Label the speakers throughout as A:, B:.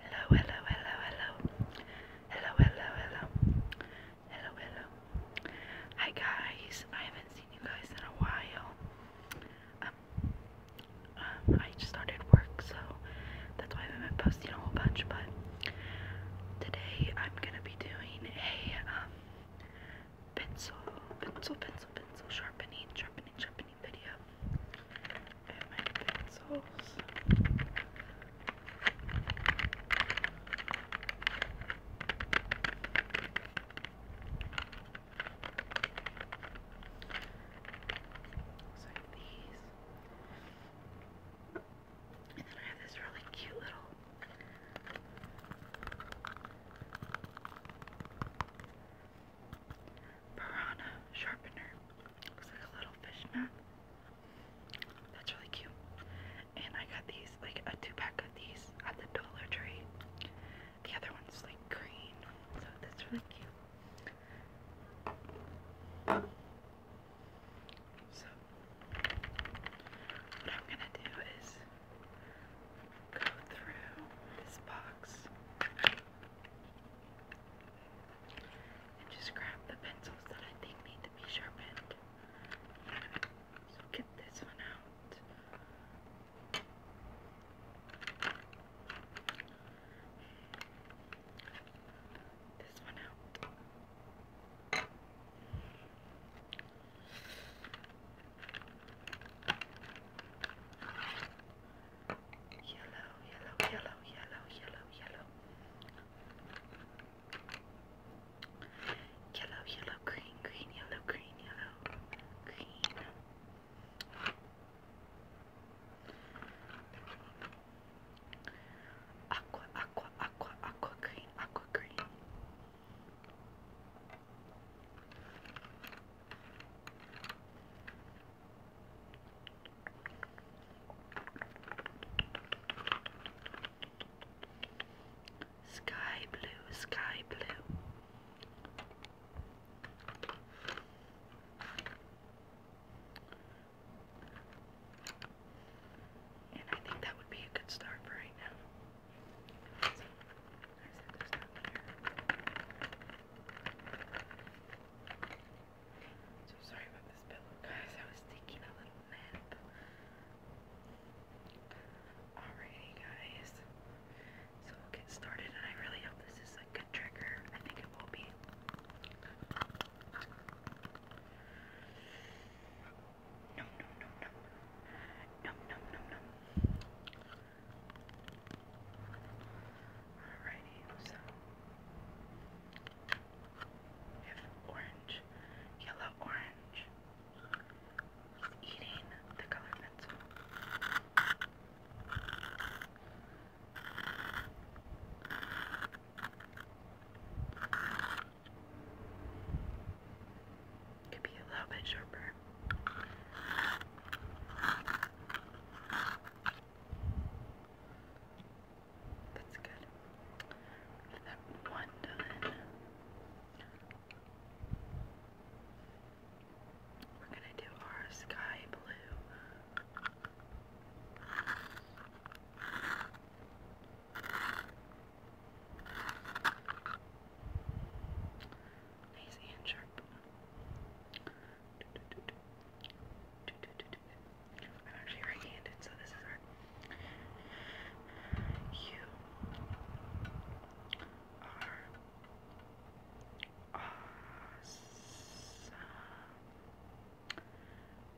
A: Hello, hello, hello, hello. Hello, hello, hello. Hi guys, I haven't seen you guys in a while. Um, um, I just started work, so that's why I haven't been posting a whole bunch, but today I'm gonna be doing a um, pencil, pencil, pencil, pencil, sharpening, sharpening, sharpening mini video and my pencils. Looks like these. And then I have this really cute little Piranha sharpener. Looks like a little fish map. That's really cute. And I got these, like a two pack of these at the Dollar Tree. The other one's like green, so that's really cute. So, what I'm gonna do is go through this box and just grab the pencils that I think need to be sharpened. So get this one out. This one out. Yellow, yellow, yellow, yellow, yellow, yellow. Yellow, yellow, green, green, yellow, green, yellow, green. Aqua, aqua, aqua, aqua green, aqua green. Sky blue, sky blue. And I think that would be a good start for right now. So sorry about this pillow, guys. I was taking a little nap. Alrighty, guys. So we'll get started, and I really hope this is a good trigger. I think it will be. Nom nom nom nom. Nom nom nom nom. Alrighty, so we have orange, yellow orange. He's eating the color pencil. Could be a little bit sharper. That's good. that one done. We're gonna do our sky blue. Nice and sharp. I'm actually right-handed, so this is hard. You are awesome.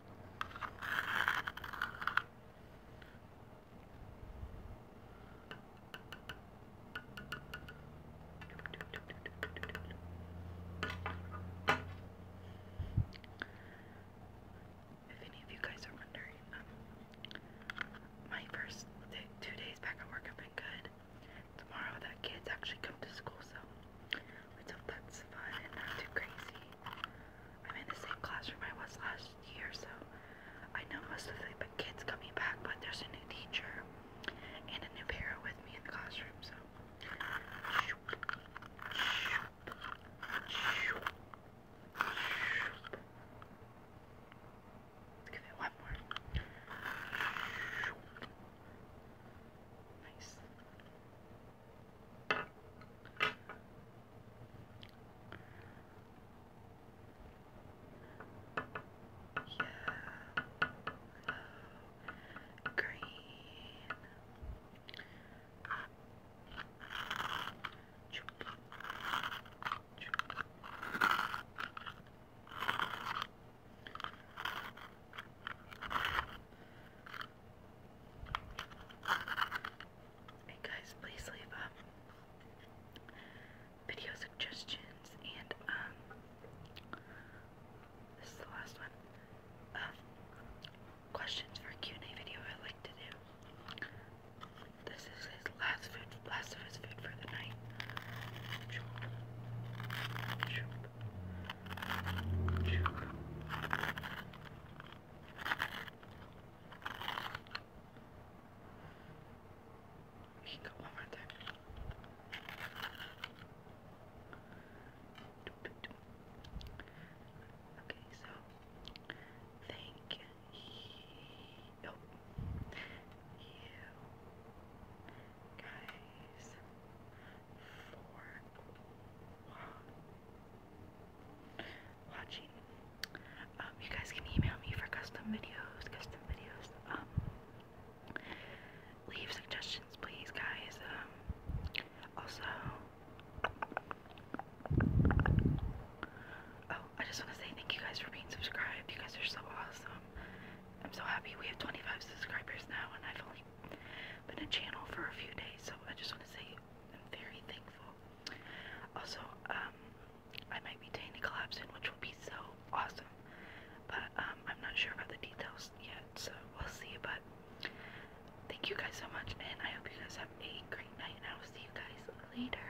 A: if any of you guys are wondering, um, my first two days back at work have been good. Tomorrow, the kids actually come to school, so which hope that's fun and not too crazy. I'm in the same classroom I was last year, so I know most of the kids coming back, but there's a new teacher and a new para with me in the classroom, so. give it one more. Nice. Yellow, green, Choop. Choop. And guys, please leave um, video suggestions and um, this is the last one. Um, questions for Q&A video I like to do. This is his last food, last of his food rested for the one more time. Okay, so thank you oh guys, for wow. watching. Um, you guys can email me for custom videos, custom videos. Um, leave suggestions, please, guys. Um, also, oh, I just want to say thank you guys for being subscribed. You guys are so awesome. I'm so happy we have 25 subscribers now, and I've only been a channel for a few days, so I just want to say I'm very thankful. Also, um, I might be taking a collab soon, which will be so awesome, but um, I'm not sure about the details yet, so we'll see. But thank you guys so much, and I hope you guys have a great night, and I will see you guys later.